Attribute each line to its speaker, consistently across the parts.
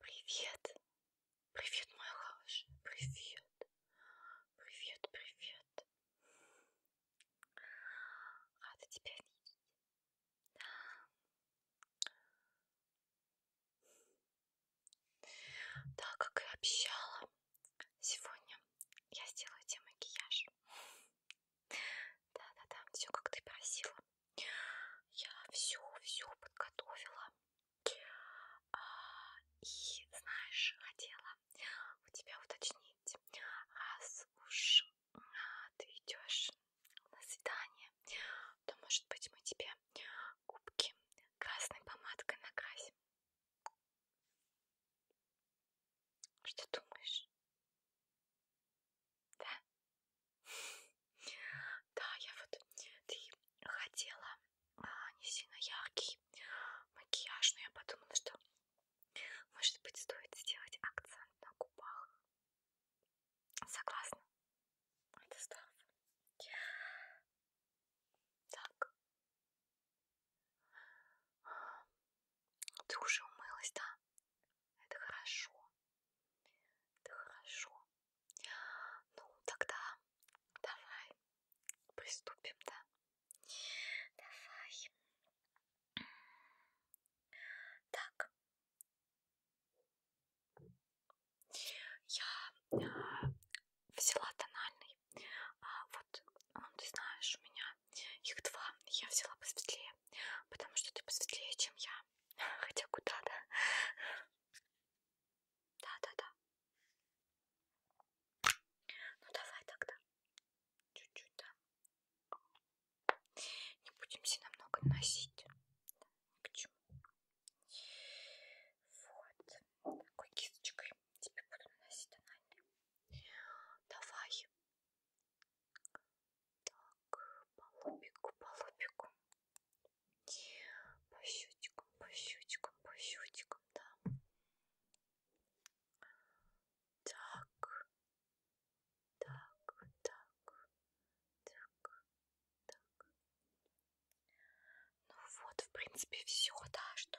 Speaker 1: Привет. Привет, моя хорошая. Привет. Привет, привет. Рада тебя видеть. Да, как и обещала, сегодня я сделаю тебе макияж. Да-да-да, все как ты просила. Я все-все подготовила. А, и, знаешь, хотела у тебя уточнить, раз уж а, ты идешь на свидание, то, может быть, мы тебе губки красной помадкой накрасим. Что думаешь? Да? Да, я вот... Ты хотела а, не сильно яркий макияж, но я подумала, что, может быть, стоит сделать акцент на губах. Согласна? Это здорово. Так, ты уже умылась, да? Это хорошо. Это хорошо. Ну, тогда давай приступим, да? Давай. Так. Я а, взяла тональный. А, вот, он, а, ты знаешь, у меня их два, я взяла посветлее, потому что ты посветлее, чем я. Хотя куда, да? Да-да-да. Ну давай тогда. Чуть-чуть, да. Не будем себе намного наносить. Ни к чему. Вот. Такой кисточкой тебе буду наносить тональный. Давай так, по лобику, по лобику. По щечкам, по щечкам, по щечкам, да. Так, так, так, так, так. Ну вот, в принципе, все, да, что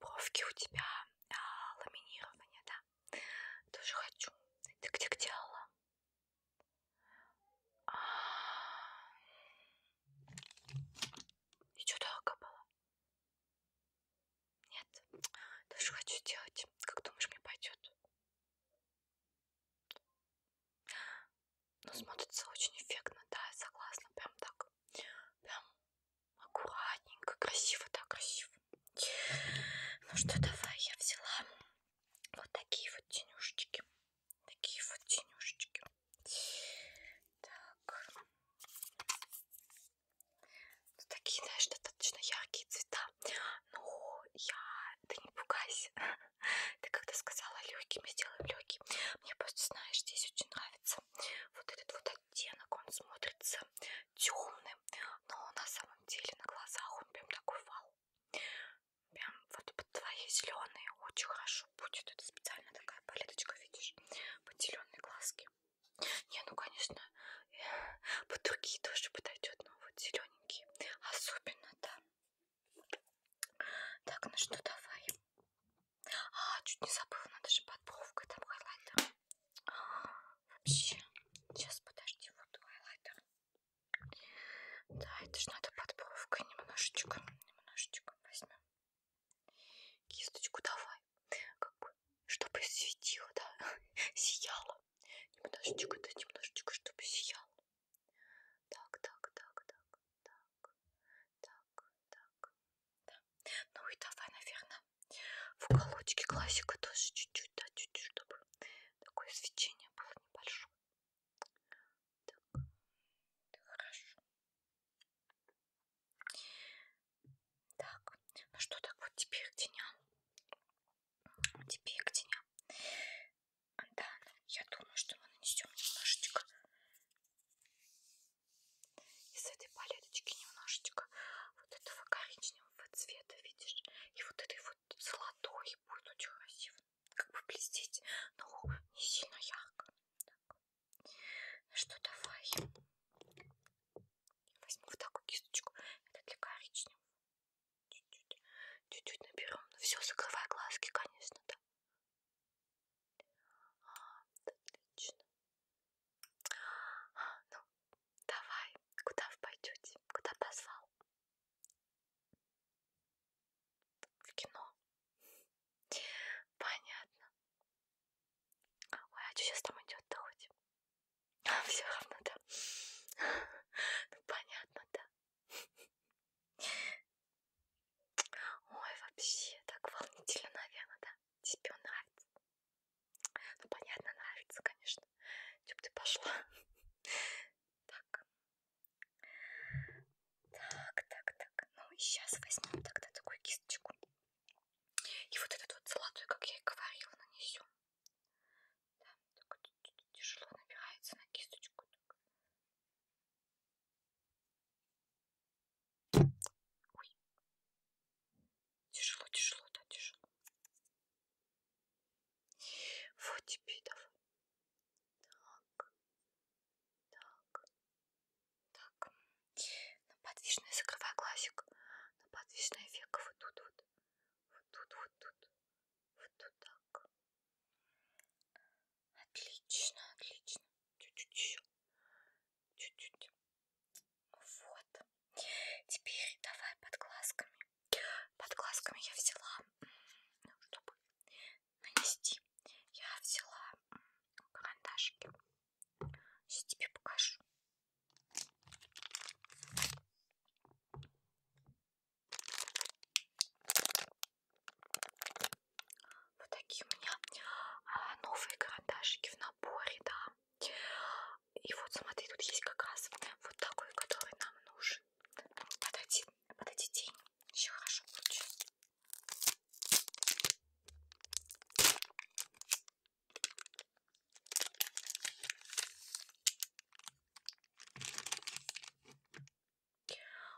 Speaker 1: Бровки у тебя а, ламинирование, да? Тоже хочу. Ты где где делала? А... И что долго было? Нет, тоже хочу сделать. Как думаешь, мне пойдет? Ну, смотрится очень эффектно, да, я согласна, прям так, прям аккуратненько, красиво, да, красиво. Ну что, давай, я взяла вот такие вот тенюшечки. Такие вот тенюшечки. Так. Ну, такие, знаешь, достаточно яркие цвета. Ну, я... Ты не пугайся. Ты когда сказала легкими, сделаем легкий. Мне просто, знаешь, здесь очень нравится вот этот вот оттенок, он смотрится темным, но на самом деле на глазах он прям такой вау. Прям вот под твои зеленые очень хорошо будет. Это специально такая палеточка, видишь, под зеленые глазки. Не, ну конечно, э, под другие тоже подойдет, но вот зелененькие особенно, да. Так, ну что, давай. А, чуть не забыла, надо же под бровкой там хайлайтер. А, вообще, сейчас подожди, вот хайлайтер. Да, это же надо под бровкой немножечко, немножечко возьмем. Кисточку давай, как бы, чтобы светило, да, сияло. Немножечко, да, немножечко, чтобы сияло. Так, так, так, так, так, так, так, да. Ну и давай, наверное, в уголочке классика тоже чуть-чуть, да, чуть-чуть, чтобы такое свечение было небольшое. Так, да, хорошо. Так, ну что, так вот теперь к теням. Теперь к теням. Да, я думаю, что мы нанесем немножечко из этой палеточки немножечко вот этого коричневого цвета, видишь? И вот этой вот золотой будет очень красиво, как бы блестеть, но не сильно ярко. Так. Ну что, давай. Возьму вот такую кисточку, это для коричневого. Чуть-чуть наберем, ну все, закрывай глазки, конечно, да. А, отлично. А, ну, давай, куда вы пойдете? Куда позвал? В кино. Понятно. Ой, а что сейчас там идет-то хоть? А, все равно, да. Ну, понятно, да. Ой, вообще, так волнительно, наверное, да? Тебе он нравится? Ну, понятно, нравится, конечно. Чё бы ты пошла? Так. Так, так, так. Ну, и сейчас возьмем тогда такую кисточку. И вот этот вот золотой, как я и говорила, нанесем. Да, так тяжело набирается на кисточку. Так. Ой. Тяжело, тяжело, да, тяжело. Вот тебе давай. Так. Так. Так. На подвижное закрывай глазик. На подвижное веко вот тут вот. Вот тут, вот тут. Вот тут так. Отлично, отлично. Чуть-чуть еще. Чуть-чуть. Вот. Теперь давай под глазками. Под глазками я взяла, ну, чтобы нанести, я взяла карандашики. Сейчас тебе покажу. Вот такие у меня а, новые карандашики в наборе, да. И вот смотри, тут есть как раз вот такой, который нам нужен. Под один, под один день еще хорошо получится.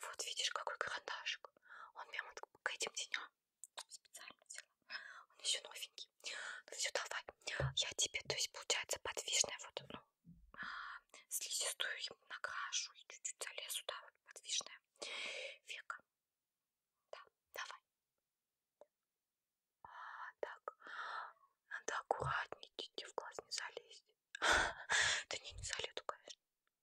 Speaker 1: Вот видишь, какой карандашик. Он прямо к этим теням специально взяла. Он еще новенький. Ну все, давай. Я тебе, то есть получается подвижная вот, ну, слизистую ему накрашу и чуть-чуть залезу, да, вот подвижная века. Да, давай. А, так, надо аккуратнее, чуть в глаз не залезть. Да не, не залезу, конечно.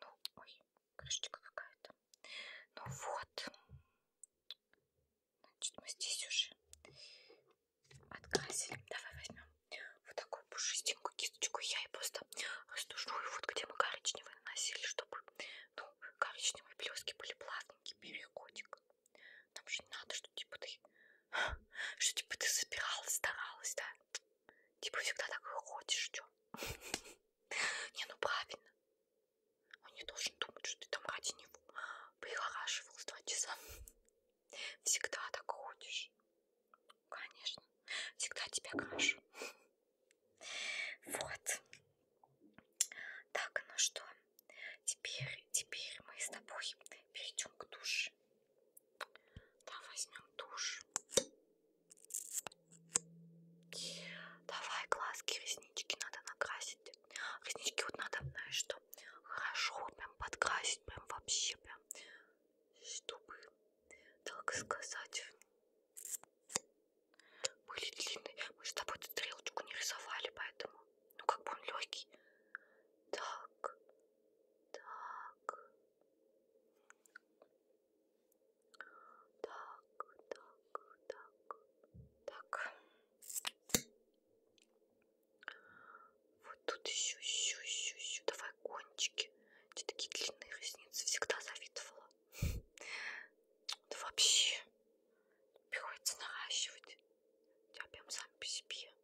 Speaker 1: Ну, ой, крышечка какая-то. Ну вот. Значит, мы здесь уже открасили. Давай возьмем вот такую пушистенькую кисточку. Я и просто растушную вот где мы коричневый наносили, чтобы ну, коричневые блески были плавненькие. Бери котик. Нам же не надо, что типа ты что типа ты собиралась, старалась, да? Типа всегда так ходишь, что? Не, ну правильно. Он не должен думать, что ты там ради него прихорашивал с два часа. Всегда так ходишь. Конечно. Всегда тебя крашу. Вот. Так, ну что, теперь, теперь мы с тобой перейдем к душе. Да, возьмем тушь. Давай глазки, реснички надо накрасить. Реснички вот надо, знаешь что, хорошо прям подкрасить, прям вообще прям, чтобы, так сказать, были длинные. Мы же с тобой эту стрелочку не рисовали, поэтому, ну как бы он легкий. Так, так, так, так, так, так. Вот тут еще, еще, еще, еще. Давай кончики. Ты такие длинные ресницы всегда завидовала. Да вообще приходится наращивать. Я прям сам по себе.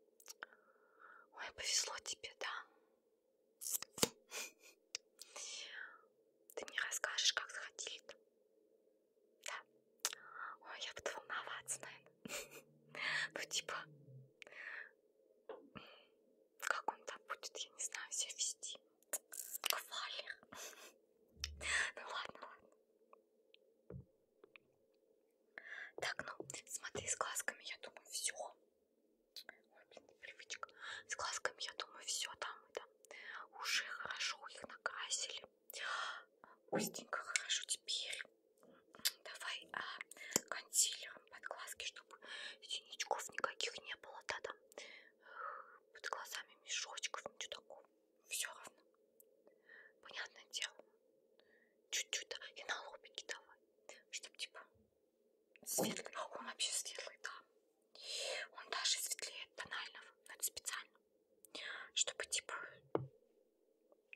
Speaker 1: Ой, повезло тебе, да? Ты мне расскажешь, как сходили? -то? Да. Ой, я буду волноваться, наверное. Ну, типа, как он там будет, я не знаю, себя вести. Кавалер. Ну ладно, ладно. Так, ну, смотри, с глазками, я думаю, все. Ой, блин, непривычка. С глазками, я думаю, все там это. Уже хорошо их накрасили. Устенько, хорошо. Теперь давай а, консилером под глазки, чтобы синячков никаких не было. Да-да. Под глазами мешочков, ничего такого. Все равно. Понятное дело чуть-чуть, да, и на лобике давай, чтобы типа светлый, он вообще светлый, да, он даже светлее тонального, но это специально, чтобы типа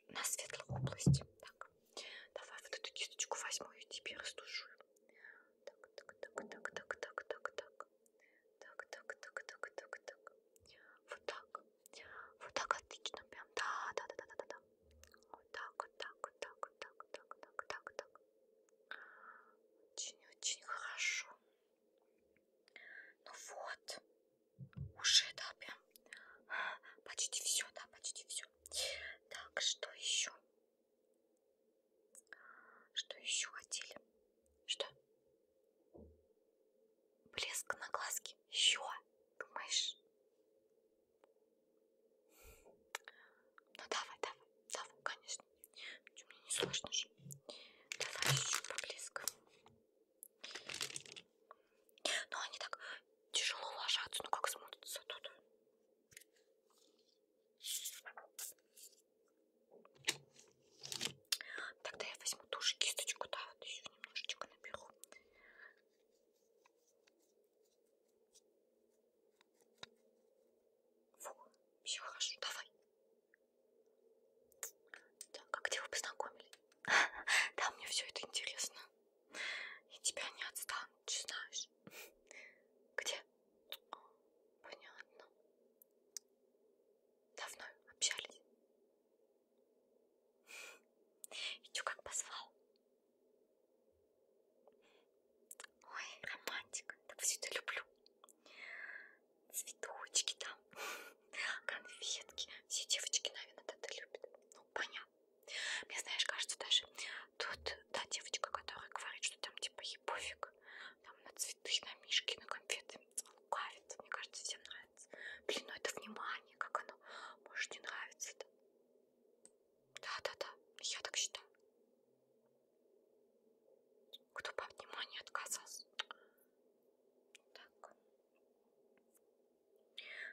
Speaker 1: на светлой области, так, давай вот эту кисточку возьму и тебе растушу, так, так, так, так, так, так, так, так, так, так, так, так, так, так, вот так, вот так отлично, прям да, да, да, да, да, да. Вот так, вот так, вот так, вот так, вот так, вот так, вот так, вот так. Очень-очень хорошо. Ну вот, уже, да, прям а, почти все, да, почти все. Так, что еще? Что еще хотели? Что? Блеск на глазке. Еще, думаешь? Ну давай, давай, давай, конечно. Что, мне не сложно же. Давай еще поблизко. Но они так тяжело ложатся, ну как смотрятся тут. Тогда я возьму ту же кисточку, да, вот еще немножечко наберу. Фу, все хорошо, давай. Так, а где вы познакомились? Да, мне все это интересно. И тебя не отстанут, ты знаешь. Где? Понятно. Давно общались? И чё, как позвал? Ой, романтик, так все это люблю. Цветочки там, конфетки. Все девочки, наверное, это любят. Ну, понятно. Мне, знаешь, кажется, даже тут та девочка, которая говорит, что там типа ей пофиг, там на цветы, на мишки, на конфеты лукавит. Мне кажется, всем нравится нравится. Блин, ну это внимание, как оно может не нравится-то. Да-да-да, я так считаю. Кто по вниманию отказался? Так.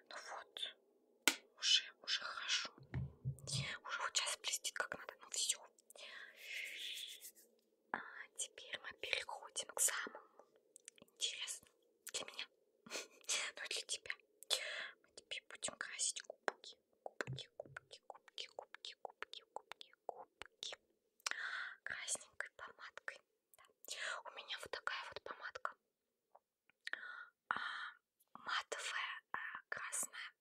Speaker 1: Ну вот, уже, уже хорошо. Уже вот сейчас блестит как надо, ну все. А теперь мы переходим к самому интересному. Для меня. Ну и для тебя. Мы тебе будем красить кубки. Кубки, кубки, кубки, кубки, кубки, кубки, кубки. Красненькой помадкой. Да. У меня вот такая вот помадка. А, матовая, а, красная.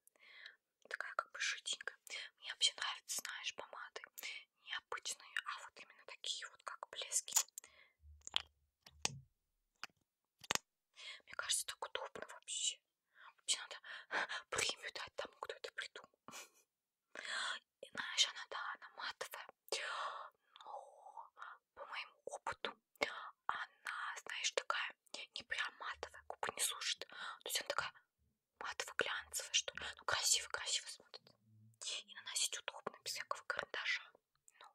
Speaker 1: Такая как бы жиденькая. Мне вообще нравится, знаешь, помады необычные, а вот именно такие вот как блески. Мне кажется, так удобно вообще. Вообще надо премию дать тому, кто это придумал. И знаешь, она, да, она матовая, но по моему опыту она, знаешь, такая не прям матовая, губы не сушит. То есть она такая матово-глянцевая, что ли. Ну, красиво-красиво смотрится. И наносить удобно, без всякого карандаша. Ну,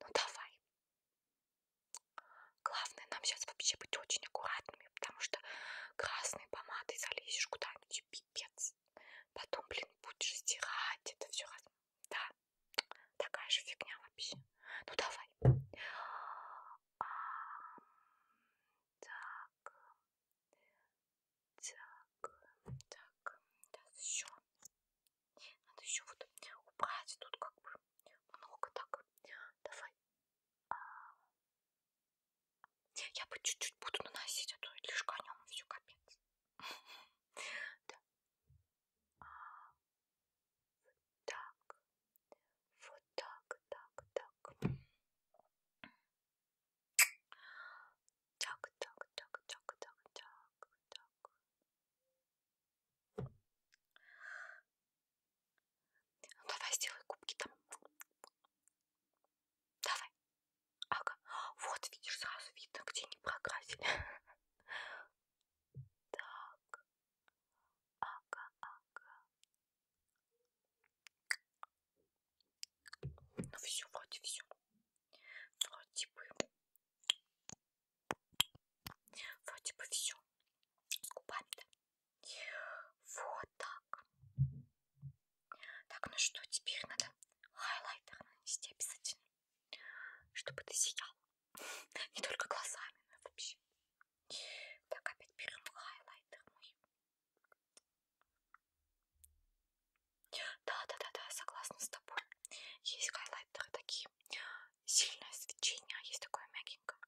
Speaker 1: ну давай. Главное нам сейчас вообще быть очень аккуратными, потому что красной помадой залезешь куда-нибудь, пипец. Потом, блин, будешь стирать это все раз. Да, такая же фигня вообще. Ну давай. А, так. Так, так, так, еще. Надо еще вот убрать тут как бы много так. Давай. А, я бы чуть-чуть буду наносить, а то лишь конем и все капец. Да. А, вот так. Вот так, так, так. Так, так, так, так, так, так, так. Ну давай сделай губки там. Давай. Ага. Вот видишь, сразу видно, где не прокрасили. Так. Ага, ага. Ну все, вроде все. Вроде бы. Вроде бы все. С губами-то. Вот так. Так, ну что, теперь надо хайлайтер нанести обязательно. Чтобы ты сиял. Не только глазами, но вообще. Так, опять берем хайлайтер мой. Да-да-да, согласна с тобой. Есть хайлайтеры такие. Сильное свечение, а есть такое мягенькое.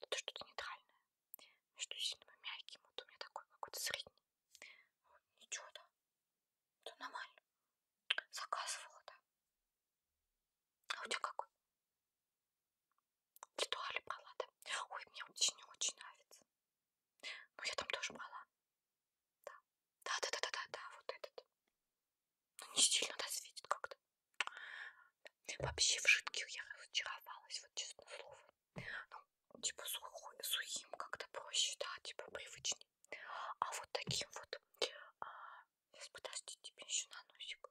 Speaker 1: Тут что-то нейтральное. Между сильным и мягким. Вот у меня такой какой-то средний. Вот, ничего, да. Это нормально. Заказывала, да. А у тебя какой? Литуале брала, да? Ой, мне очень-очень нравится. Ну, я там тоже брала. Да, да-да-да-да-да, вот этот. Ну, не сильно, да, светит как-то. Вообще в жидких я разочаровалась, вот честно слово. Ну, типа сухой, сухим как-то проще, да, типа привычнее. А вот таким вот... А, сейчас, подожди, тебе еще на носик.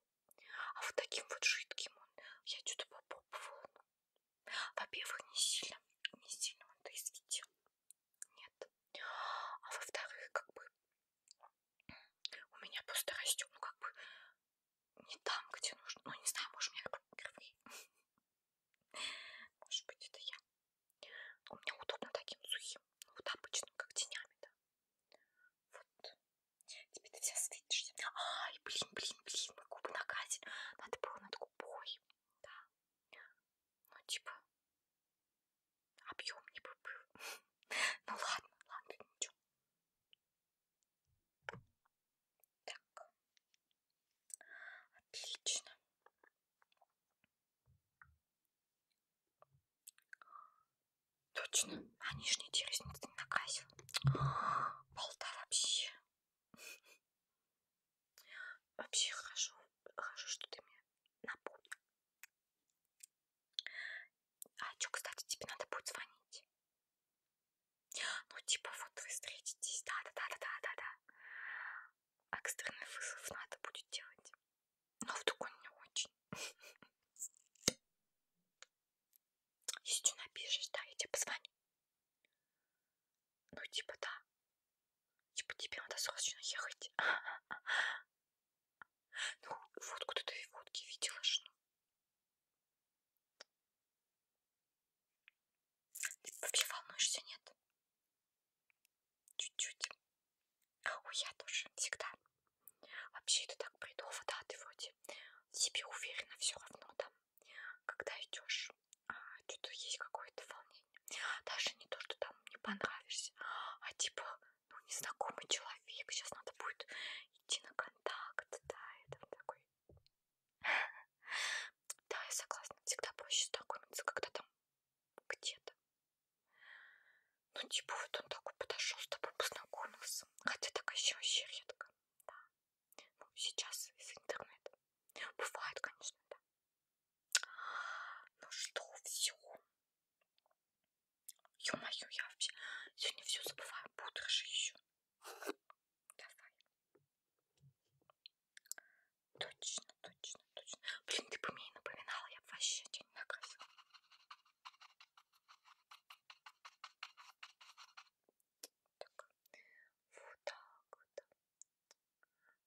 Speaker 1: А вот таким вот жидким он... Я что-то попробовала, ну, во-первых, не сильно, не сильно он это изведел. Нет. А во-вторых, как бы у меня просто растет, ну как бы не там, где нужно. Ну не знаю, может, у меня впервые. Может быть, это я. У меня удобно таким сухим, вот обычным, как тенями, да. Вот Теперь ты вся светишься. Ай, блин, блин, блин, мы губы накрасили. Надо было над губой. Да. Ну, типа, объем не бы был. Ну ладно, ладно, ничего. Так. Отлично. Точно, а нижние те ресницы не накрасил. Балда вообще. Вообще хорошо, хорошо, что ты мне напомнил. А что, кстати, тебе надо будет звонить? Ну, типа, вот вы встретитесь, да-да-да-да-да-да. Экстренный вызов надо будет делать. Но вдруг он не очень. Если ты напишешь, да, я тебе позвоню. Ну, типа, да. Типа, тебе надо срочно ехать. Ну, водку ты и водки видела ж, ну. Ты вообще волнуешься, нет? Чуть-чуть. Ой, я тоже всегда. Вообще это так бредово, да, ты вроде в себе уверена все равно там, когда идешь, а, что-то есть какое-то волнение. Даже не то, что там не понравишься, а типа, ну, незнакомый человек, сейчас надо будет идти на контакт, да, это такой... Да, я согласна, всегда проще знакомиться, когда там где-то. Ну, типа, вот он такой подошел с тобой, познакомился. Хотя так еще вообще редко. Да. Ну, сейчас из интернета. Бывает, конечно, да. Ну что, все. Ё-моё, я вообще сегодня все забываю. Бодро же еще. Давай. Точно, точно, точно. Блин, ты бы мне и напоминала, я бы вообще тебя не накрасила. Так, вот так вот.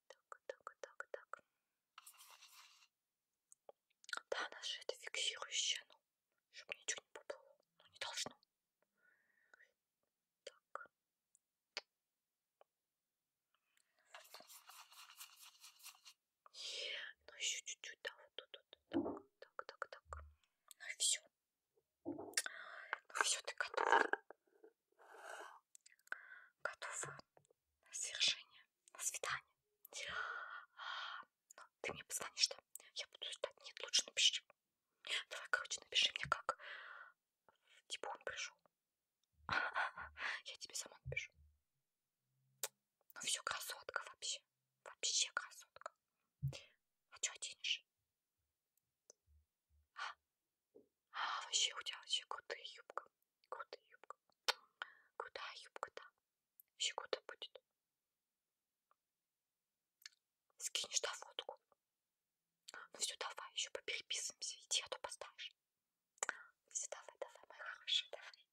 Speaker 1: Так, так, так, так. Да, она же это фиксирующая, ну, чтобы ничего не поплыло. Ну, не должно. Так. Вот. Ну, еще чуть-чуть, да, вот тут, вот, так, так, так, так. Ну и все. Ну все, ты готова. Готова на свершение, на свидание. Ну, ты мне позвонишь, да? Я буду ждать. Нет, лучше напиши. Давай, короче, напиши мне как. Типа он пришел. Я тебе сама напишу. Ну все, красотка вообще. Вообще красотка. А что оденешь? А? А, вообще у тебя вообще крутая юбка. Крутая юбка. Крутая юбка-то. Вообще круто будет. Скинешь на фотку. Ну все, давай, еще попереписываемся. Иди, а то поставишь. Все, давай, давай, моя хорошая, давай.